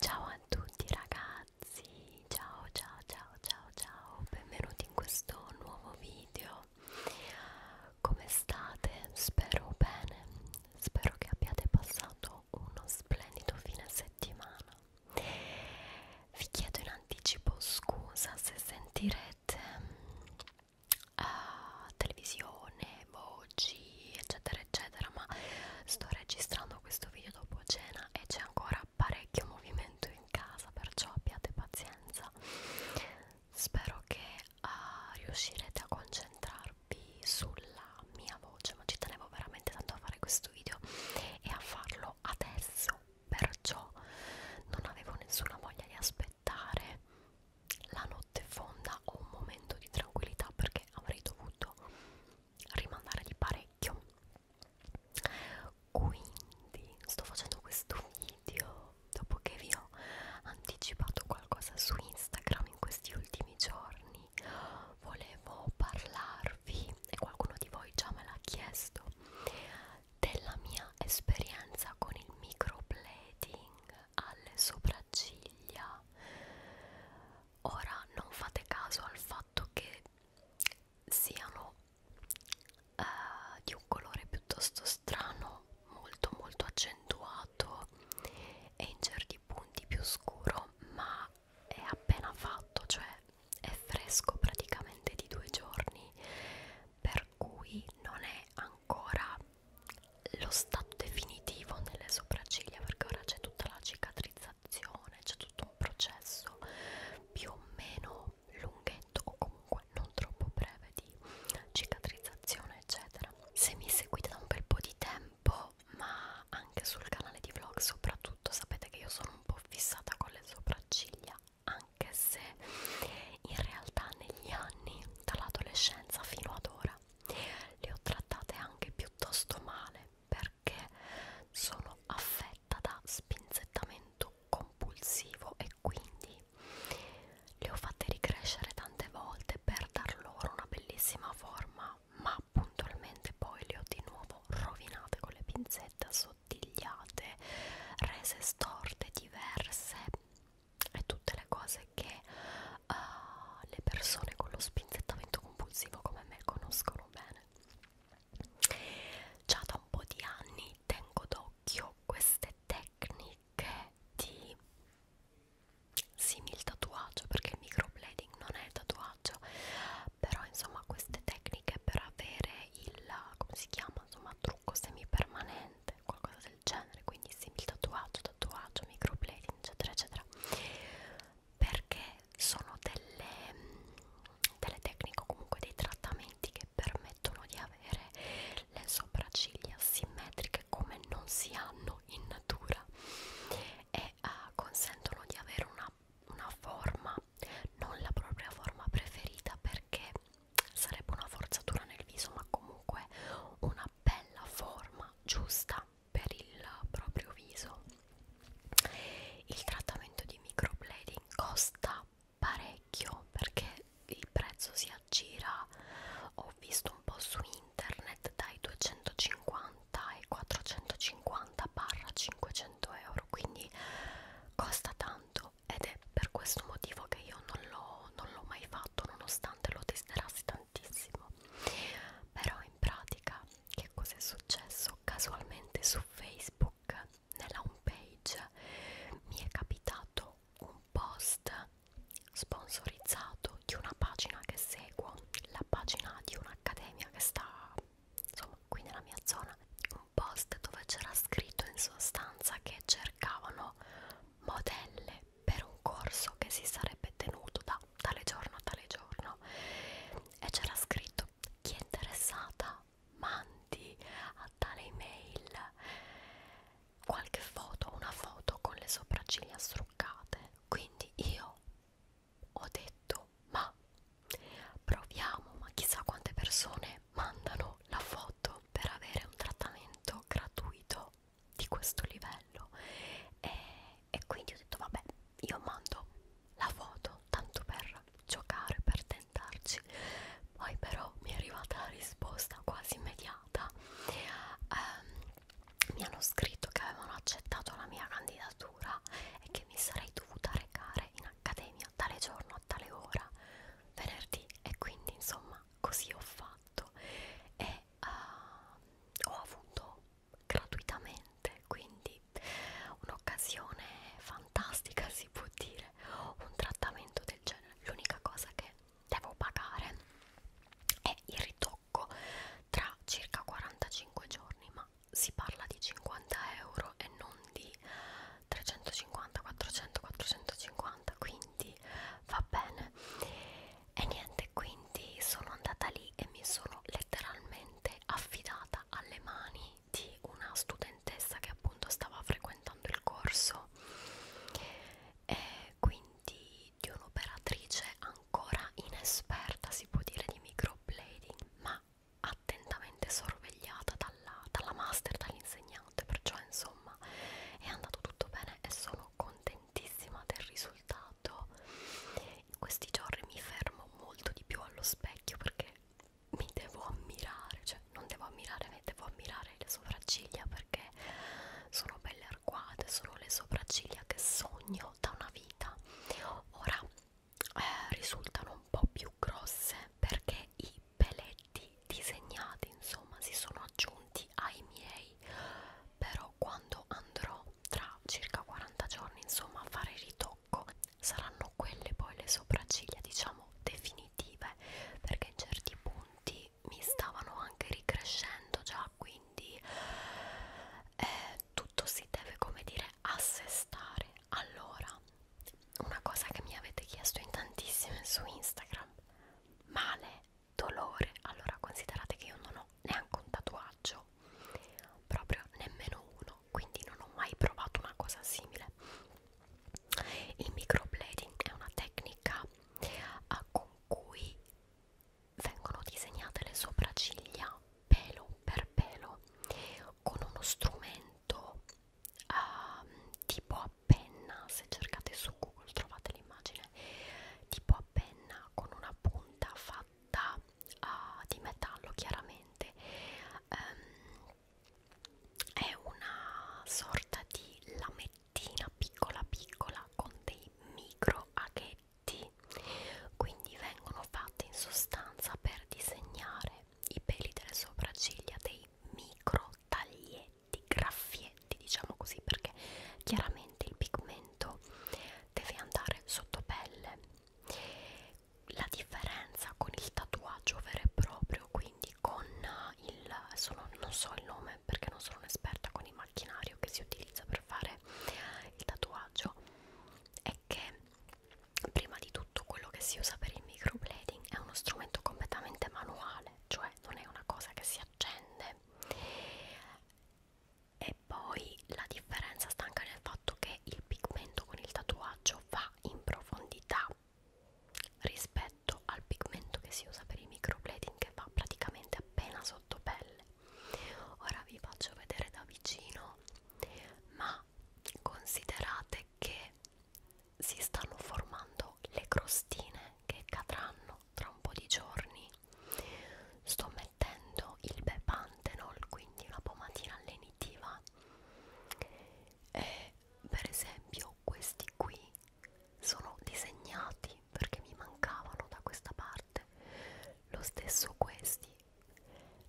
Ciao a tutti ragazzi, ciao ciao ciao ciao ciao, benvenuti in questo nuovo video. Come state? Spero bene, spero che abbiate passato uno splendido fine settimana. Vi chiedo in anticipo scusa se sentirete uh, televisione, voci oggi eccetera eccetera ma sto registrando questo video dopo cena e c'è ancora parecchio movimento in casa perciò abbiate pazienza spero che uh, riuscirete a concentrarvi sulla mia voce ma ci tenevo veramente tanto a fare questo video e a farlo adesso perciò non avevo nessuna voglia di aspettare la notte fonda o un momento di tranquillità perché perché avrei dovuto rimandare di parecchio quindi sto facendo questo video dopo che vi ho anticipato qualcosa su Instagram in questi ultimi giorni volevo parlarvi e qualcuno di voi già me l'ha chiesto della mia esperienza con il microblading alle sopracciglia fa ora non fate caso al fatto che siano uh, di un colore piuttosto strano molto molto accentuato e in certi punti più scuro ma è appena fatto cioè è fresco praticamente di due giorni per cui non è ancora lo stato definitivo nelle sopracciglia perché ora c'è tutta la cicatrizzazione, c'è tutto un processo più o meno lunghetto o comunque non troppo breve di cicatrizzazione eccetera. Se mi seguite da un bel po' di tempo ma anche sul canale di vlog soprattutto sapete che io sono un po' fissata con le sopracciglia anche se in realtà negli anni dall'adolescenza fino ad ora le ho trattate anche piuttosto male perché sono affetta da spinzettamento compulsivo e quindi le ho fatte ricrescere tante volte per dar loro una bellissima forma ma puntualmente poi le ho di nuovo rovinate con le pinzette assottigliate rese storte diverse e tutte le cose che uh, le persone con lo spinzettamento compulsivo come me conoscono bene. Già da un po' di anni tengo d'occhio queste tecniche di simil tatuaggio perché il microblading non è tatuaggio, però insomma queste tecniche per avere il come si chiama, insomma, trucco semipermanente qualcosa del genere, quindi simil tatuaggio, tatuaggio, microblading, eccetera, eccetera, perché sono delle, mm, delle tecniche o comunque dei trattamenti che permettono di avere le sopracciglia simmetriche come non si hanno in natura e uh, consentono di avere una, una forma, non la propria forma preferita perché sarebbe una forzatura nel viso ma comunque una bella forma giusta per il proprio viso il trattamento di microblading costa parecchio perché il prezzo si aggira ho visto un po' su internet dai 250 ai 450 barra 500 euro quindi costa tanto ed è per questo motivo che io non l'ho mai fatto nonostante importante, lo testerassi tantissimo. Però in pratica che cosa è successo? Casualmente su Facebook, nella home page, mi è capitato un post sponsorizzato di una pagina che seguo, la pagina di un'accademia che sta insomma qui nella mia zona, un post dove c'era scritto in sostanza che cercavano modelle per un corso che si sarebbe tenuto da tale giorno a tale giorno e c'era scritto chi è interessata mandi a tale email qualche foto, una foto con le sopracciglia struccate quindi io ho detto ma proviamo ma chissà quante persone mandano chiedono la foto per avere un trattamento gratuito di questo livello e, e quindi ho detto vabbè io mando la foto tanto per giocare per tentarci poi però mi è arrivata la risposta quasi immediata um, mi hanno scritto che avevano accettato la mia candidatura e che mi sarei dovuta recare in accademia tale giorno a tale ora venerdì e quindi insomma così ho fatto e uh, ho avuto gratuitamente quindi un'occasione fantastica si può dire un trattamento del genere l'unica cosa che devo pagare è il ritocco tra circa 45 giorni ma si parla di 50 euro e non di 350 400 450 quindi va bene e niente quindi sono andata lì e mi sono letteralmente affidata alle mani di una studentessa che appunto stava frequentando il corso e quindi di un'operatrice ancora inesperta si può dire di microblading ma attentamente sorvegliata dalla, dalla master, dall'insegnante guadagnate perciò insomma è andato tutto bene e sono contentissima del risultato in questi giorni mi fermo molto di più allo specchio perché mi devo ammirare cioè non devo ammirare mi devo ammirare le sopracciglia perché sono belle arcuate sono le sopracciglia che sogno da una vita ora eh, risultano un po' più grosse perché i peletti disegnati insomma si sono aggiunti ai miei però quando andrò tra circa 40 giorni insomma a fare ritocco saranno quelle poi le sopracciglia diciamo definitive perché in certi punti mi stavano anche ricrescendo già quindi eh, tutto si deve come dire assestare allora, una cosa che mi avete chiesto in tantissime su Instagram, male, dolore, allora considerate che io non ho neanche un tatuaggio, proprio nemmeno uno, quindi non ho mai provato una cosa simile. Il microblading è una tecnica eh, con cui vengono disegnate le sopracciglia pelo per pelo con uno strumento uh, tipo a penna, se cercate su Google trovate l'immagine, tipo a penna con una punta fatta uh, di metallo chiaramente, um, è una sorta di lamettina piccola piccola con dei micro aghetti quindi vengono fatte in sostanza per disegnare i peli delle sopracciglia dei micro taglietti, graffietti diciamo così perché chiaramente il pigmento deve andare sotto pelle la differenza con il tatuaggio vero e proprio quindi con il sono, non so il nome perché non sono un'esperta con il macchinario che si utilizza per fare il tatuaggio è che prima di tutto quello che si usa per il microblading è uno strumento completamente manuale, cioè non è una cosa che si accende. E poi la differenza sta anche nel fatto che il pigmento con il tatuaggio va in profondità rispetto al pigmento che si usa per il microblading che va praticamente appena sotto pelle. Ora vi faccio vedere da vicino, ma considerate che si stanno formando le crostine che cadranno tra un po' di giorni sto mettendo il bepantenol quindi una pomatina allenitiva e per esempio questi qui sono disegnati perché mi mancavano da questa parte lo stesso questi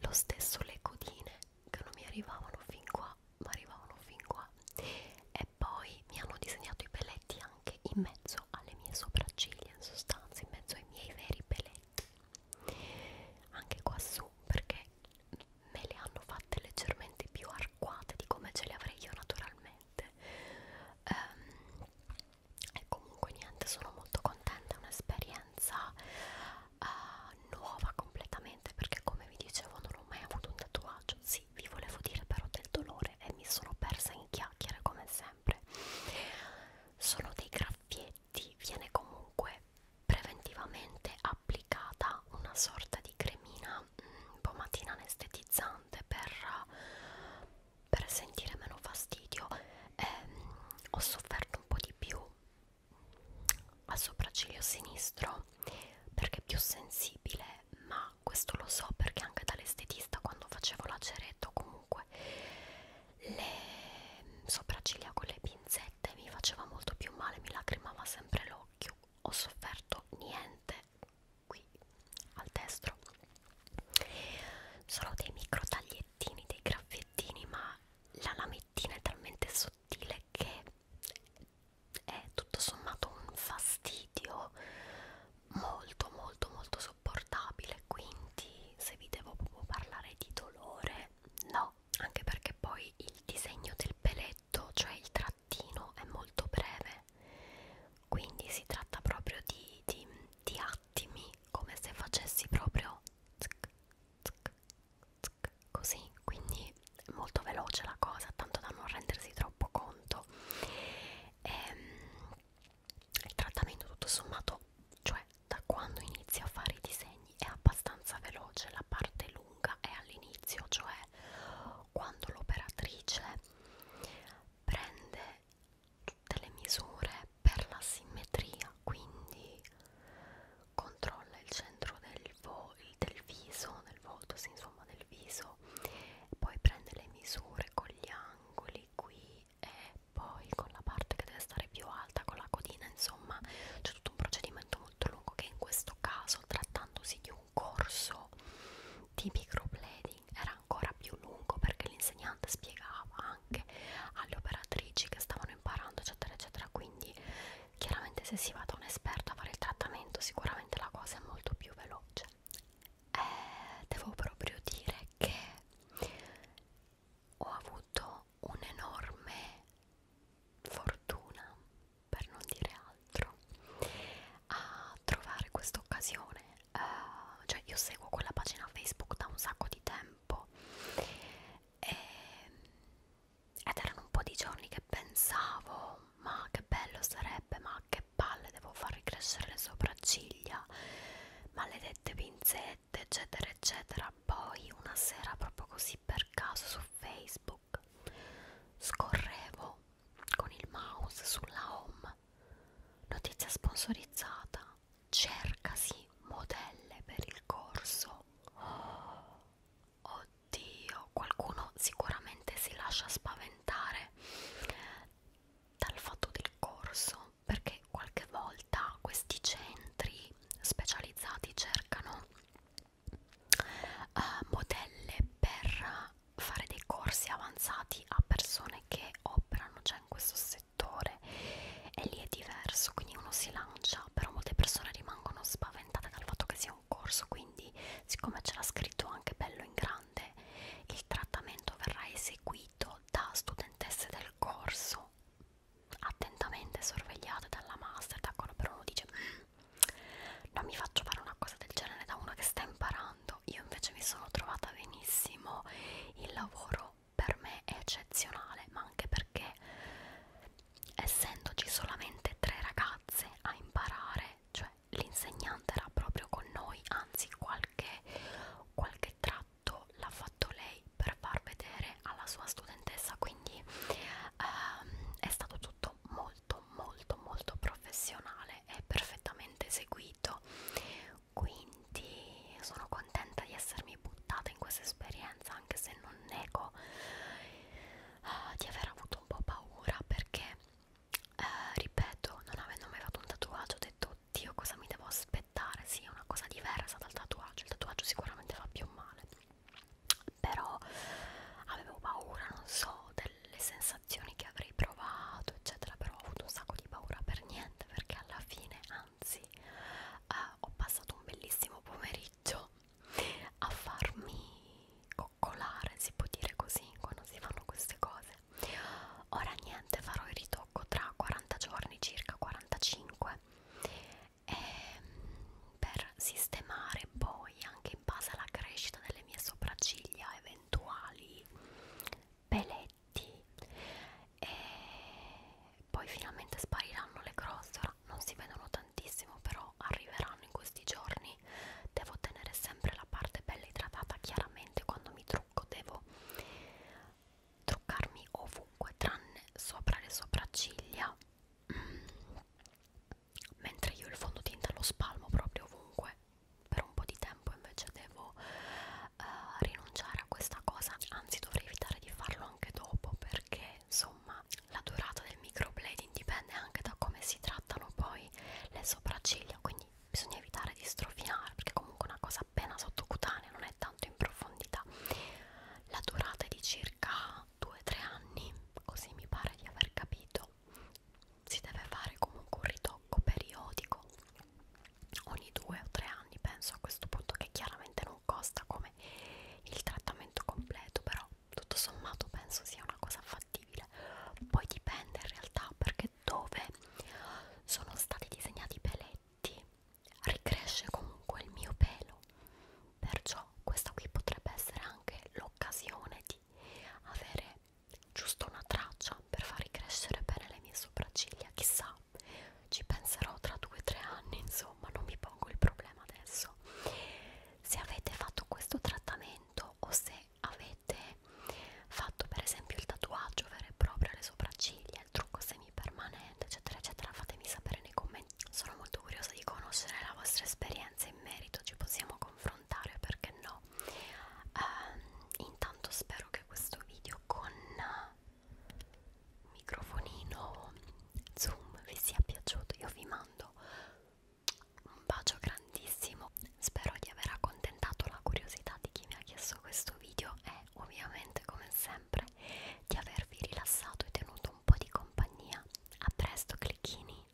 lo stesso le codine che non mi arrivavano fin qua ma arrivavano fin qua e poi mi hanno disegnato i peletti anche in mezzo alle mie sopracciglia in sostanza in mezzo ai miei veri peletti anche qua su perché me le hanno fatte leggermente più arcuate di come ce le avrei io naturalmente um, e comunque niente sono molto contenta è un'esperienza uh, nuova completamente perché come vi dicevo non ho mai avuto un tatuaggio sì vi volevo dire però del dolore e mi sono persa in chiacchiere come sempre sono dei graffietti viene comunque preventivamente applicata una sorta di cremina mh, mm, pomatina anestetizzante per, per sentire meno fastidio e, ehm, mh, ho sofferto un po' di più al sopracciglio sinistro perché è più sensibile ma questo lo so perché anche dall'estetista quando facevo l'aceretto comunque le sopracciglia con le pinzette mi faceva molto più male mi lacrimava sempre l'occhio ho sofferto niente qui al destro solo dei micro taglietti lamettini, dei graffettini, ma la lamettina è talmente sottile che è tutto sommato un fastidio molto molto molto sopportabile quindi se vi devo proprio parlare di dolore no anche perché poi il disegno del peletto cioè il trattino è molto breve quindi si tratta proprio di, di, di attimi come se facessi proprio zic, zic, zic, così quindi molto veloce la cosa tanto da non rendersi troppo conto ehm, il trattamento tutto sommato cioè da quando inizio a fare i disegni è abbastanza veloce la parte lunga è all'inizio cioè quando l'operatrice prende tutte le misure per la simmetria quindi controlla il centro del, vo del viso del volto sì, insomma del viso poi prende le misure con gli angoli qui e poi con la parte che deve stare più alta con la codina insomma c'è tutto un procedimento molto lungo che in questo caso trattandosi di un corso di microblading era ancora più lungo perché l'insegnante spiegava anche alle operatrici che stavano imparando eccetera eccetera quindi chiaramente se si va da un esperto a fare il trattamento sicuramente la cosa è molto più veloce eh, devo proprio dire che ho avuto un'enorme fortuna per non dire altro a trovare questa occasione uh, cioè io seguo quella pagina Facebook da un sacco di tempo e, ehm, ed erano un po' di giorni che pensavo ma che bello sarebbe, ma che palle devo far ricrescere le sopracciglia, maledette pinzette eccetera eccetera, poi una sera proprio così per caso su Facebook scorrevo con il mouse sulla home notizia sponsorizzata prima cercasi modelle per il corso oh, oddio qualcuno sicuramente si lascia spaventare dal fatto del corso perché qualche volta questi centri specializzati cercano uh, modelle per fare dei corsi avanzati a persone che operano già in questo settore settore e lì è diverso, quindi uno si lancia, però molte persone rimangono spaventate dal fatto che sia un corso, quindi siccome ce l'ha scritto anche bello in grande, il trattamento verrà eseguito da studentesse del corso, attentamente sorvegliate dalla master, d'accordo, però uno dice mm, non mi faccio fare una cosa del genere da una che sta imparando lavorando io invece mi sono trovata benissimo il lavoro per me è eccezionale ma anche perché essendoci solamente tre ragazze a imparare cioè l'insegnante era proprio con noi anzi qualche, qualche tratto l'ha fatto lei per far vedere alla sua studentessa quindi ehm, è stato tutto molto molto molto professionale e perfettamente eseguito quindi sono contenta di essermi buttata in questa esperienza anche se non nego uh, di aver avuto un po' paura perché uh, ripeto non avendo mai fatto un tatuaggio ho detto Dio cosa mi devo aspettare sì è una cosa diversa dal tatuaggio il tatuaggio sicuramente fa più male però avevo paura non so delle sensazioni sensazioni che avrei provato eccetera però ho avuto un sacco di paura per niente perché alla fine anzi eh, ho passato un bellissimo pomeriggio a farmi coccolare si può dire così quando si fanno queste cose ora niente farò il ritocco tra 40 giorni circa 45 e, ehm, per sistemare poi anche in base alla crescita delle mie sopracciglia eventuali peletti e poi finalmente spariranno le croste ora non si vedono tantissimo però arriveranno in questi giorni devo tenere sempre la parte bella idratata chiaramente quando mi trucco devo truccarmi ovunque tranne sopra le sopracciglia mm. mentre io il fondotinta lo spalmo proprio ovunque per un po' di tempo invece devo uh, rinunciare a questa cosa anzi dovrei evitare di farlo anche dopo perché insomma la durata del microblading dipende anche da come si trattano poi le sopracciglia quindi bisogna evitare di strofinare perché comunque una cosa appena sottocutanea non è tanto in profondità la durata è di circa 2-3 anni così mi pare di aver capito si deve fare comunque un ritocco periodico ogni due o tre anni penso a questo punto che chiaramente non costa come il trattamento completo però tutto sommato penso sia una cosa fattibile poi dipende in realtà perché dove sono stati disegnati i peletti ricresce comunque il mio pelo perciò questa qui potrebbe essere anche l'occasione di avere giusto una traccia per far crescere bene le mie sopracciglia, chissà, ci penserò tra 2-3 anni, insomma, non mi pongo il problema adesso. Se avete fatto questo trattamento o se avete fatto per esempio il tatuaggio vero e proprio alle sopracciglia, il trucco semipermanente, eccetera, eccetera, fatemi sapere nei commenti. Sono molto curiosa di conoscere la vostra esperienza in merito, ci possiamo confrontare affrontare perché no um, intanto spero che questo video con microfonino zoom vi sia piaciuto io vi mando un bacio grandissimo spero di aver accontentato la curiosità di chi mi ha chiesto questo video e ovviamente come sempre di avervi rilassato e tenuto un po' di compagnia a presto clicchini